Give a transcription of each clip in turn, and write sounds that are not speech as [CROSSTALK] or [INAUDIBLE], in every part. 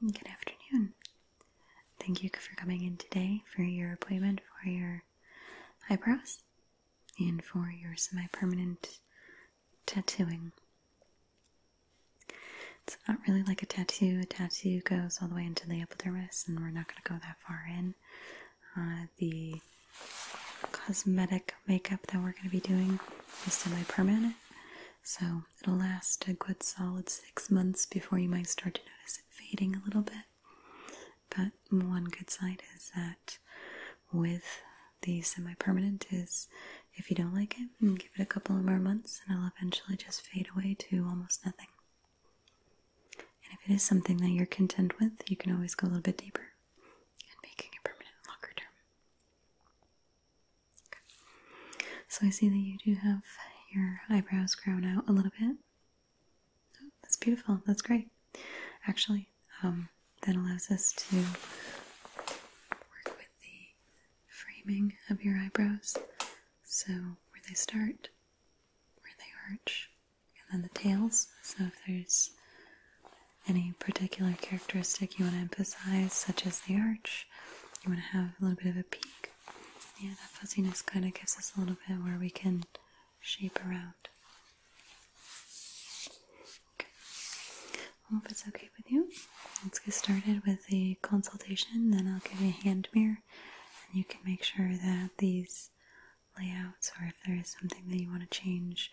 Good afternoon. Thank you for coming in today for your appointment for your eyebrows and for your semi permanent tattooing. It's not really like a tattoo. A tattoo goes all the way into the epidermis, and we're not going to go that far in. Uh, the cosmetic makeup that we're going to be doing is semi permanent, so it'll last a good solid six months before you might start to notice it fading a little bit. But one good side is that with the semi-permanent is if you don't like it, give it a couple of more months and it'll eventually just fade away to almost nothing. And if it is something that you're content with, you can always go a little bit deeper and making it permanent longer term. So I see that you do have your eyebrows grown out a little bit. Oh, that's beautiful. That's great. Actually, um, that allows us to work with the framing of your eyebrows. So where they start, where they arch, and then the tails. So if there's any particular characteristic you want to emphasize, such as the arch you want to have a little bit of a peek. Yeah, that fuzziness kind of gives us a little bit where we can shape around. Okay. I hope it's okay with you. Let's get started with the consultation, then I'll give you a hand mirror and you can make sure that these layouts or if there is something that you want to change,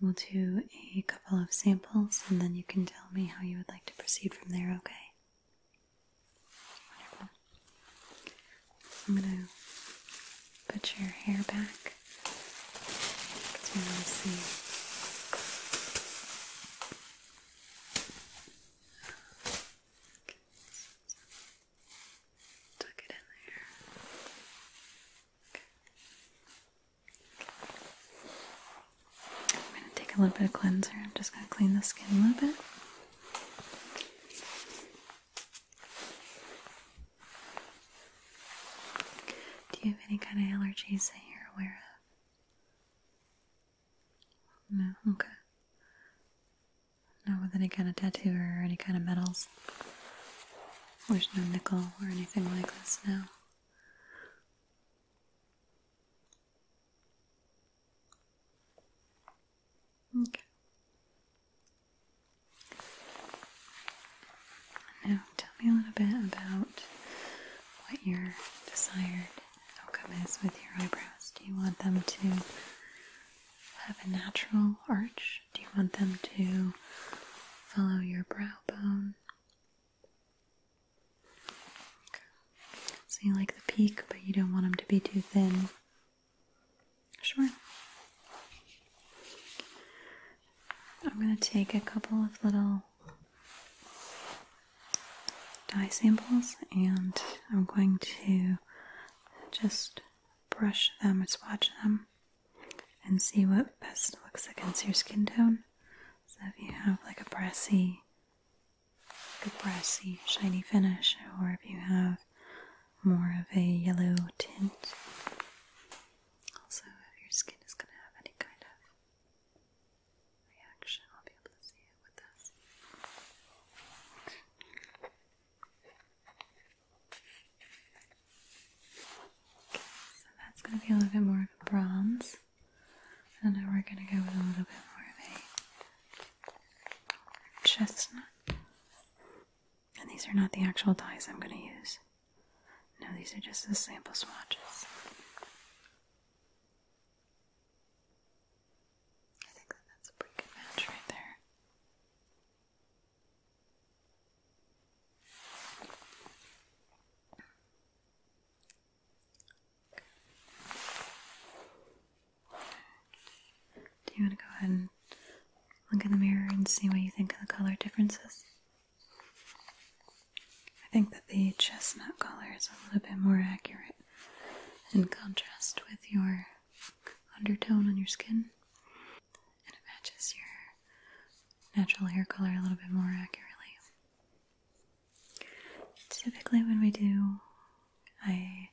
we'll do a couple of samples and then you can tell tell me how you would like to proceed from there, okay? Wonderful. I'm gonna put your hair back because we see tuck it in there okay. I'm going to take a little bit of cleanser. I'm just going to clean the skin a little bit. Do you have any kind of allergies that you're aware of? No? Okay. Not with any kind of tattoo or any kind of metals. There's no nickel or anything like this No. Okay. Now, tell me a little bit about what your desired outcome is with your eyebrows. Do you want them to have a natural arch? Do you want them to follow your brow bone? So you like the peak, but you don't want them to be too thin. Sure. I'm going to take a couple of little dye samples and I'm going to just brush them or swatch them and see what best looks against your skin tone. So if you have like a brassy, a brassy shiny finish, or if you have more of a yellow tint. Also, if your skin is going to have any kind of reaction, I'll be able to see it with this. so that's going to be a little bit more of a bronze. And now we're going to go with a little bit more of a chestnut. And these are not the actual dyes I'm going to use. No, these are just the sample swatches. I think that that's a pretty good match right there. Do you want to go ahead and look in the mirror and see what you think of the color differences? I think that the chestnut color is a little bit more accurate in contrast with your undertone on your skin, and it matches your natural hair color a little bit more accurately. Typically, when we do a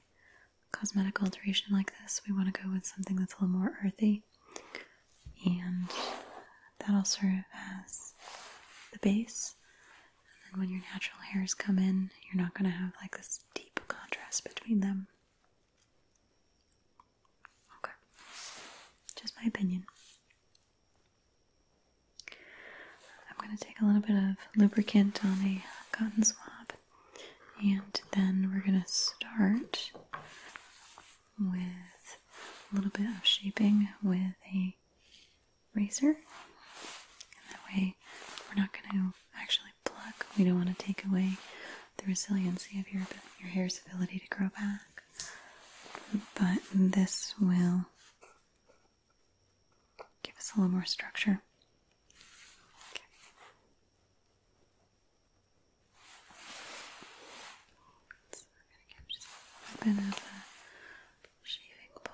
cosmetic alteration like this, we want to go with something that's a little more earthy, and that'll serve as the base. And then when your natural hairs come in, you're not going to have like this deep contrast between them. Okay, just my opinion. I'm going to take a little bit of lubricant on a cotton swab, and then we're going to start with a little bit of shaping with a razor. And that way, we're not going to actually pluck. We don't want to take away the resiliency of your your hair's ability to grow back. But this will give us a little more structure. Okay. So we going to give just a bit of a shaving balm.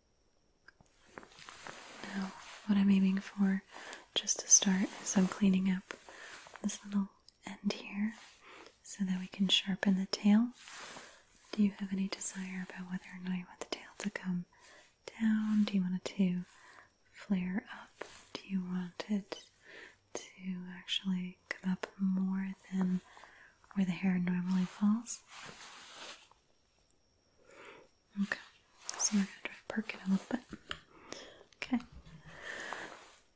Now, what I'm aiming for just to start is I'm cleaning up this little end here so that we can sharpen the tail. Do you have any desire about whether or not you want the tail to come down? Do you want it to flare up? Do you want it to actually come up more than where the hair normally falls? Okay, so we're gonna try to perk it a little bit. Okay,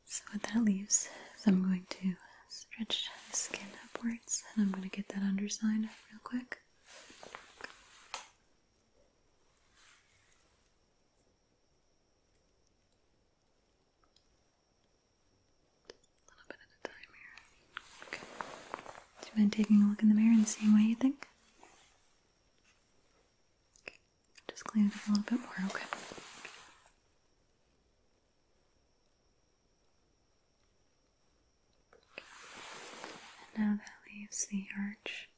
so what that leaves is I'm going to stretch the skin upwards and I'm gonna get that underside real quick. A little bit at a time here. Okay. you mind taking a look in the mirror and seeing what you think? Just clean it up a little bit more, okay? And now that leaves the arch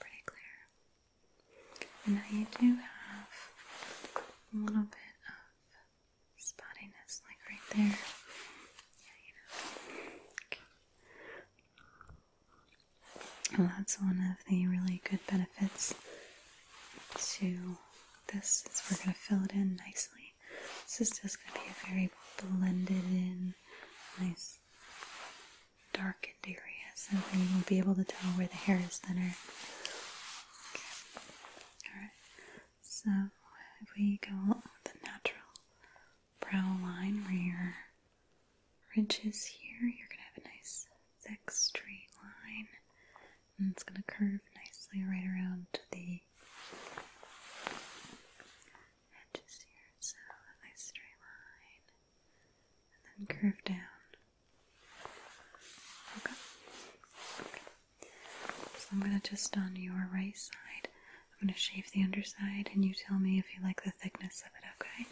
pretty clear. And now you do have a little bit of spottiness, like right there. Well, that's one of the really good benefits to this is we're going to fill it in nicely. This is just going to be a very blended in, nice darkened area, so we you will be able to tell where the hair is thinner. Alright, so we go with the natural brow line where your ridge here, you're going to have a nice thick straight line. And it's going to curve nicely right around to the edges here. So a nice straight line. And then curve down. okay. So I'm going to just on your right side, I'm going to shave the underside and you tell me if you like the thickness of it, okay?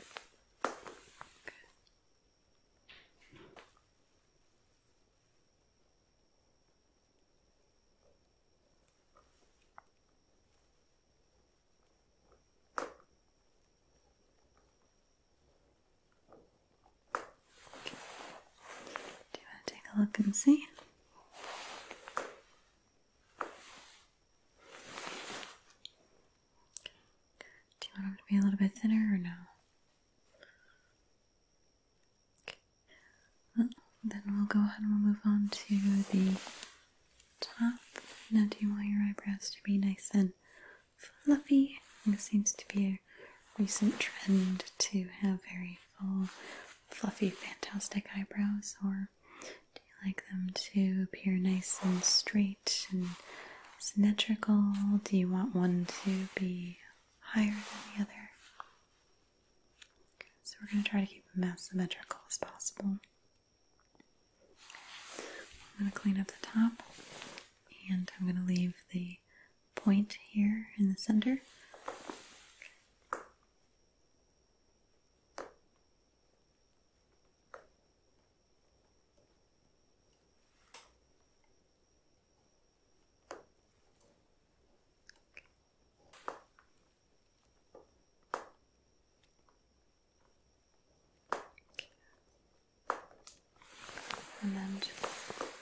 Do you want to take a look and see? Do you want them to be a little bit thinner or no? Okay. then we'll go ahead and we'll move on to the top. Now, do you want your eyebrows to be nice and fluffy? It seems to be a recent trend to have very full, fluffy, fantastic eyebrows, or do you like them to appear nice and straight and symmetrical? Do you want one to be higher than the other? so we're going to try to keep them as symmetrical as possible. I'm going to clean up the top and I'm going to leave the point here in the center. And then just glide up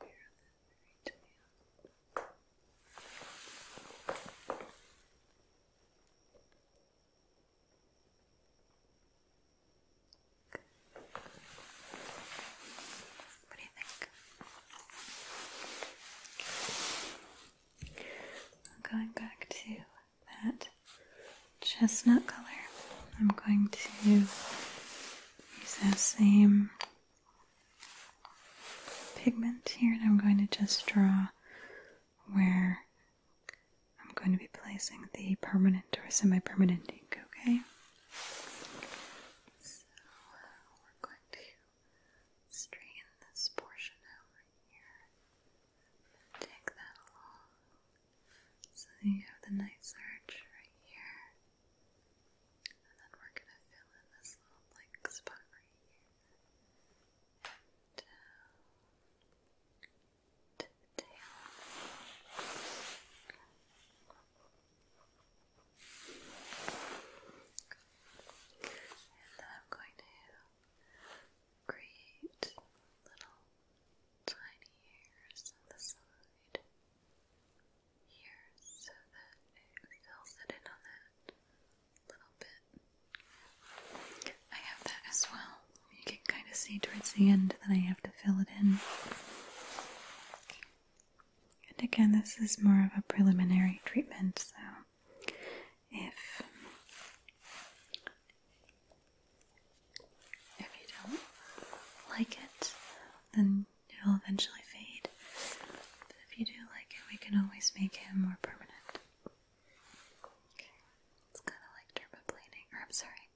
here on the right nail. I'm going back to that chestnut color. I'm going to use the same pigment here and I'm going to just draw where I'm going to be placing the permanent or semi-permanent ink, okay? So we're going to straighten this portion out here take that along so you have the nice arch right here and then we're going to fill in this little blank spot right here. tail. And then I'm going to create little tiny hairs on the side here so that it fills it in on that little bit. I have that as well. You can kind of see towards the end that I have to fill it in. And again, this is more of a preliminary treatment, so if if you don't like it, then it'll eventually fade. But if you do like it, we can always make it more permanent. it's kind of like dermaplaning, or I'm sorry,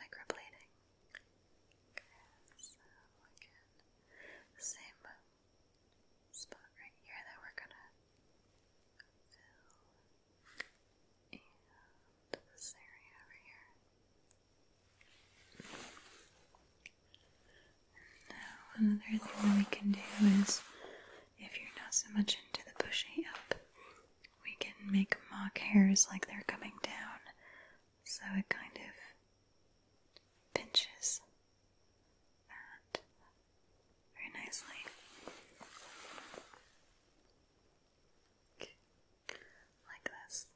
microplaning. same spot right here that we're gonna fill, and this area over here. Now, another thing that we can do is if you're not so much into the pushing up, we can make mock hairs like they're coming down so it kind of pinches that very nicely. Like this.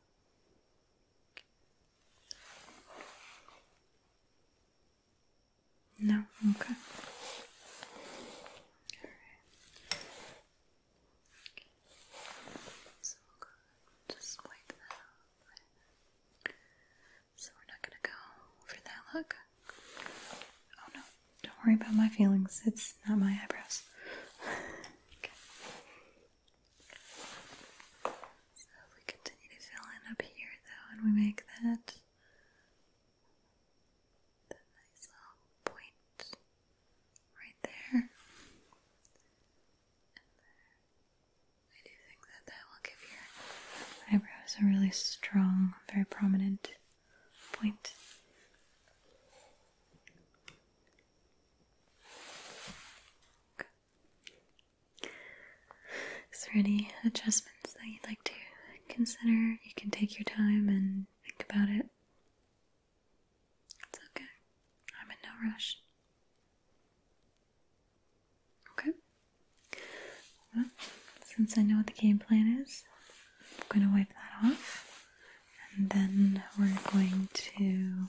No? Okay. Alright. So we are not gonna go for that look. Oh no, don't worry about my feelings. It's not my eyebrows. [LAUGHS] So if we continue to fill in up here though and we make that that nice little point right there. I do think that that will give your eyebrows a really strong, very prominent point. Okay. Is there any adjustments that you'd like to consider? You can take your time and think about it. It's okay. I'm in no rush. Okay. since I know what the game plan is, I'm going to wipe that off. And then we're going to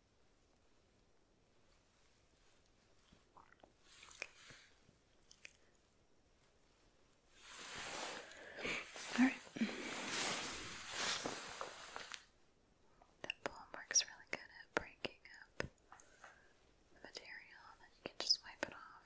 All right. That palm works really good at breaking up the material, and then you can just wipe it off.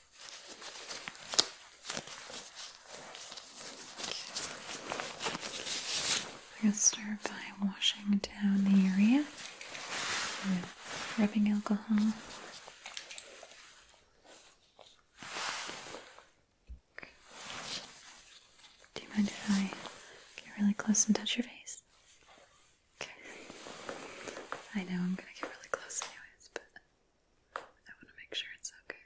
I are going to start by washing down the area with rubbing alcohol. Do you mind if I get really close and touch your face? Okay. I know I'm gonna get really close anyways, but I want to make sure it's okay.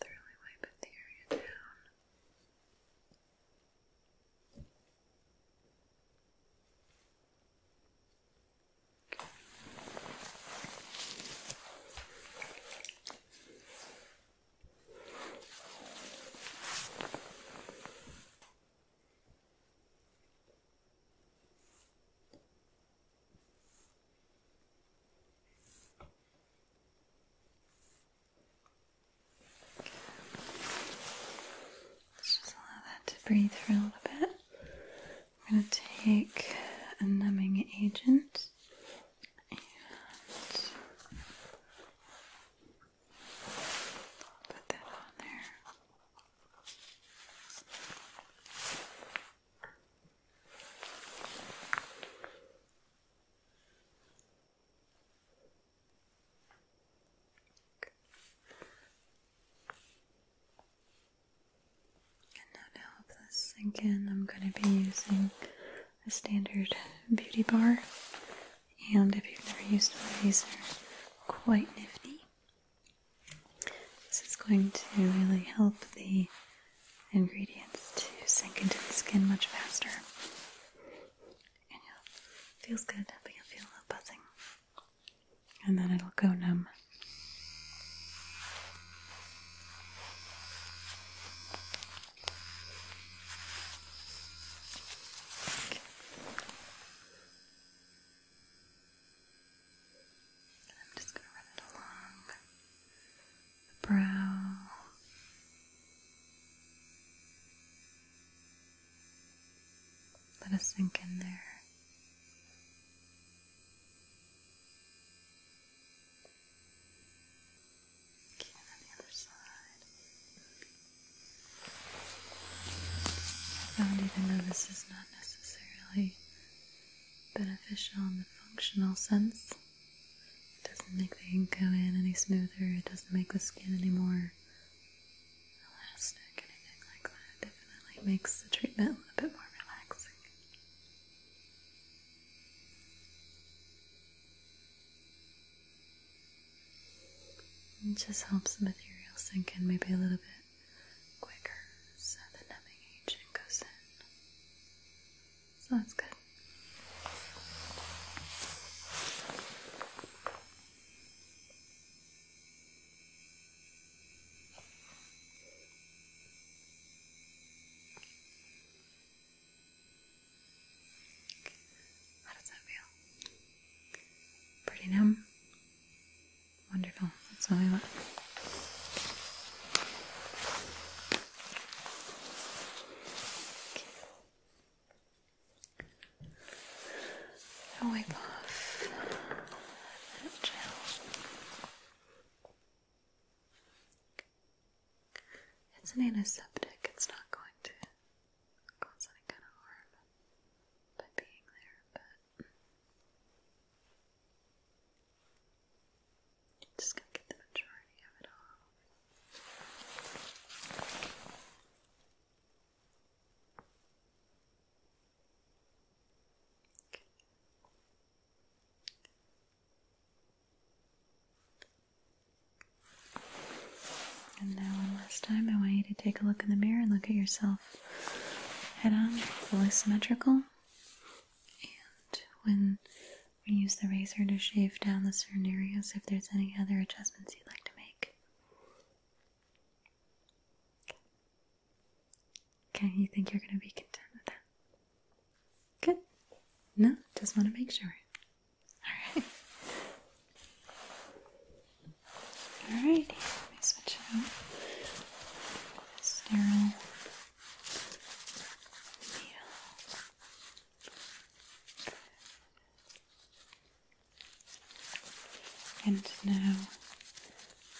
Thoroughly wipe the area down. Let's just allow that to breathe for a little bit. I'm going to take a numbing agent and put that on there. And now to help this sink in, I'm going to be using a standard beauty bar. And if you've never used one of these, quite nifty. This is going to really help the ingredients to sink into the skin much faster. And it feels good, but you'll feel a little buzzing. And then it'll go numb. I'm just going to run it along the brow. Let us sink in there. Okay, on the other side. I found even though this is not necessarily beneficial in the functional sense. It doesn't make the ink go in any smoother, it doesn't make the skin any more elastic, anything like that. It definitely makes the treatment a little bit more relaxing. It just helps the material sink in maybe a little bit quicker so the numbing agent goes in. Sounds good. How does that feel? Pretty numb? Wonderful. That's all I want. Okay. I'll wipe off that gel. It's an antiseptic. It's not going to cause any kind of harm by being there, but just gonna get the majority of it all. And now, one last time, I want you to take a look in the mirror and look at yourself head on, fully symmetrical. And when we use the razor to shave down the certain areas, if there's any other adjustments you'd like to make. can you think you're going to be content with that? Good. No, just want to make sure. All right. [LAUGHS] All right. let me switch out. Sterile needle. And now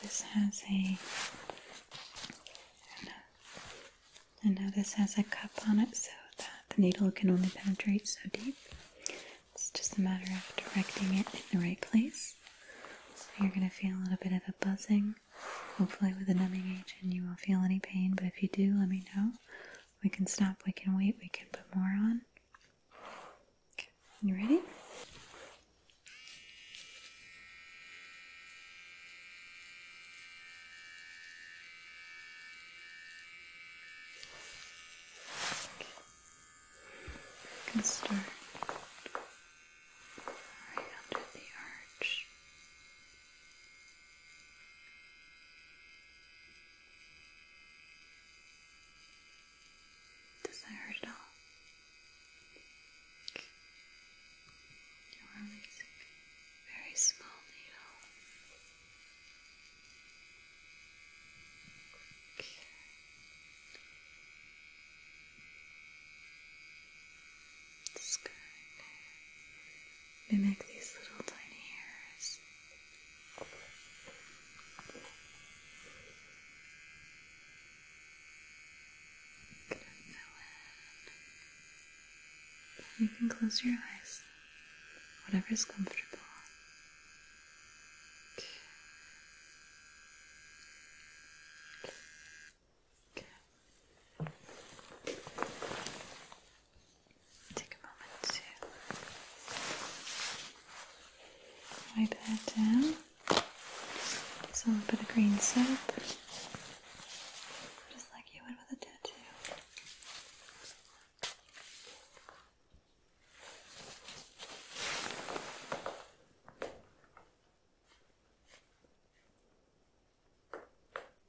this has a and now this has a cup on it so that the needle can only penetrate so deep. It's just a matter of directing it in the right place. So you're going to feel a little bit of a buzzing. Hopefully with a numbing agent you won't feel any pain, but if you do, let me know. We can stop, we can wait, we can put more on. Okay. You ready? You can start right under the arch. Does that hurt at all? You're releasing very small needle. Okay. Just gonna mimic these little tiny hairs. Gonna fill in. You can close your eyes, Whatever is comfortable. Take a moment to wipe that down. Just a little bit of green soap, just like you would with a tattoo.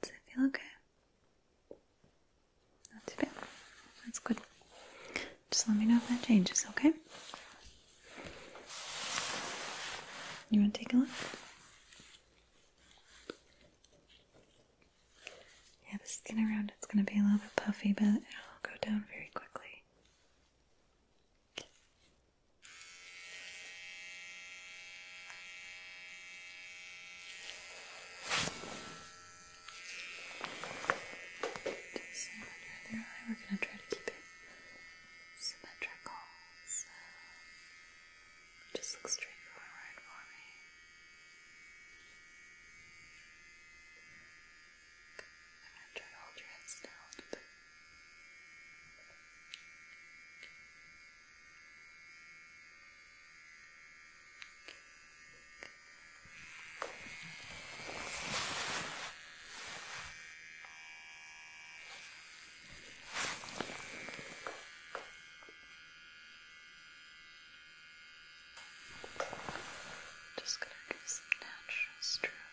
Does it feel okay? Not too bad. That's good. Just let me know if that changes, okay? You want to take a look? Yeah, the skin around it's going to be a little bit puffy, but it'll go down very quickly. Just under the eye, we're going to try to keep it symmetrical, so just look straight forward for me. I'm gonna try to hold your heads down a Just gonna give some natural strokes.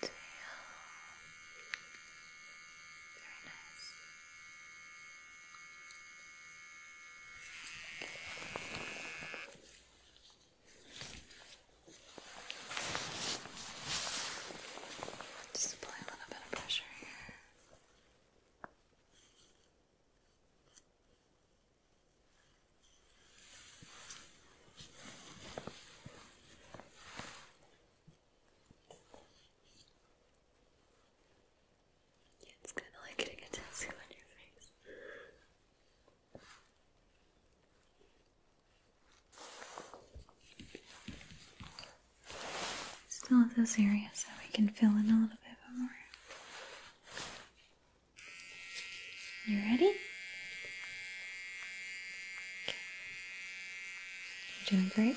the tail. Very nice. Just apply a little bit of pressure here it's kind of like getting a tattoo on your face. Still at those areas that we can fill in a little bit more. You ready? You're doing great. And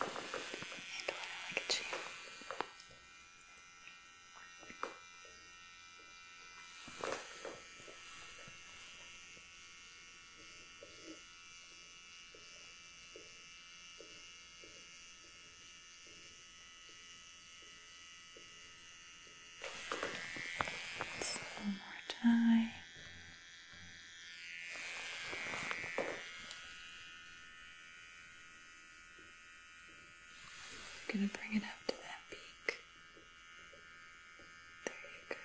when I look at you one more time. I'm gonna bring it up to that peak. There you go.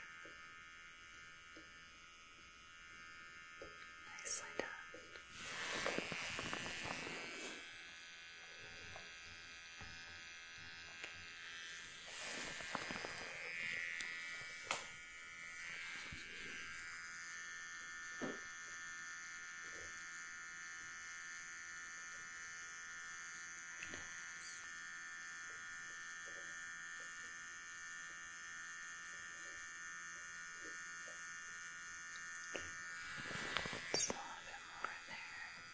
Nicely done. Okay. It's a little bit more there.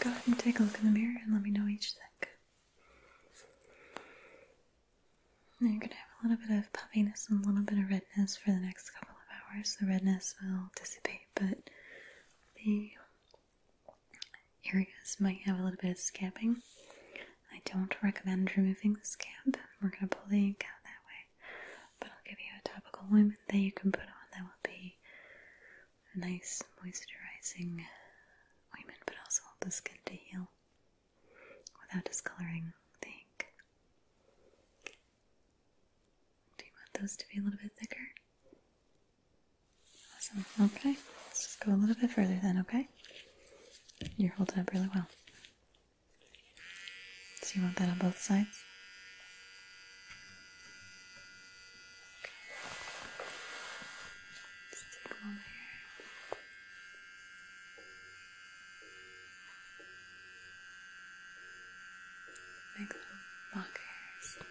Go ahead and take a look in the mirror and let me know what you think. Now you're going to have a little bit of puffiness and a little bit of redness for the next couple of hours. The redness will dissipate, but the areas might have a little bit of scabbing. I don't recommend removing the scab. We're going to pull the ink out that way. But I'll give you a topical ointment that you can put on that will be nice moisturizing ointment, but also help the skin to heal without discoloring the Do you want those to be a little bit thicker? Awesome. Okay, let's just go a little bit further then, okay? You're holding up really well. So you want that on both sides? Let's take a moment here. Make little mock hairs. Okay.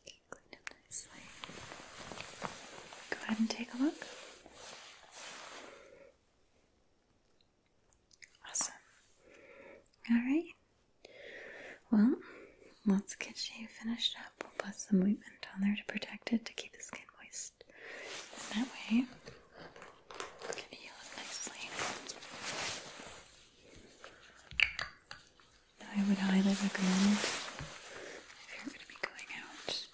Okay, cleaned up nicely. Go ahead and take a look. Awesome. Alright. Well, let's get you finished up. We'll put some ointment on there to protect it to keep the skin moist that way, we can heal nicely. I would highly recommend if you're going to be going out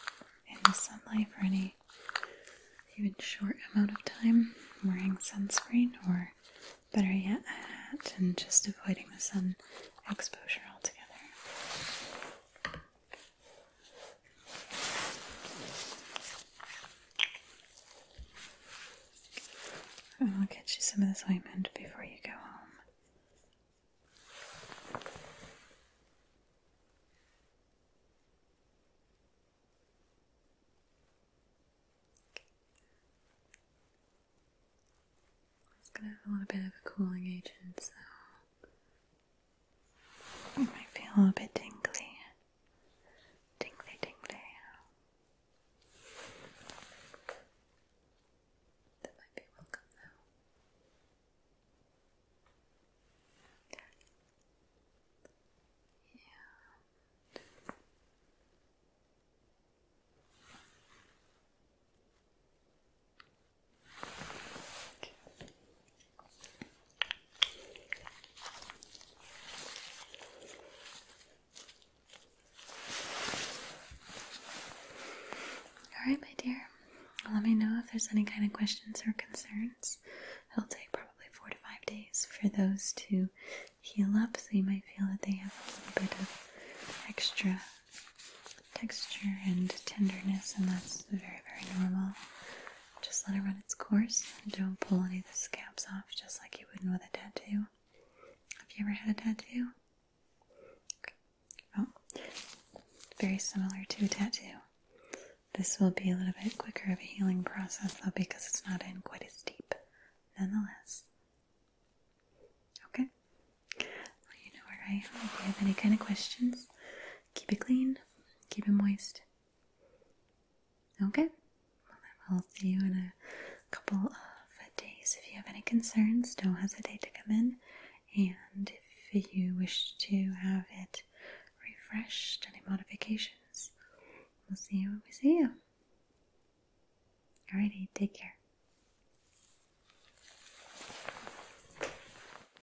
in the sunlight for any even short amount of time wearing sunscreen or better yet a hat and just avoiding the sun exposure altogether. I'll get you some of this ointment before you go home. It's going to have a little bit of a cooling agent, so I feel a little bit tingly. Tingly, tingly. That might be welcome though. Yeah. Alright, my dear. Let me know if there's any kind of questions or concerns. It'll take probably four to five days for those to heal up, so you might feel that they have a little bit of extra texture and tenderness, and that's very, very normal. Just let it run its course and don't pull any of the scabs off just like you wouldn't with a tattoo. Have you ever had a tattoo? Oh, very similar to a tattoo. This will be a little bit quicker of a healing process though because it's not in quite as deep. Nonetheless. Okay. you know where I am. If you have any kind of questions, Keep it clean, keep it moist. Okay, i will see you in a couple of days. If you have any concerns, don't hesitate to come in. And if you wish to have it refreshed, any modifications, we'll see you when we see you. Alrighty, take care.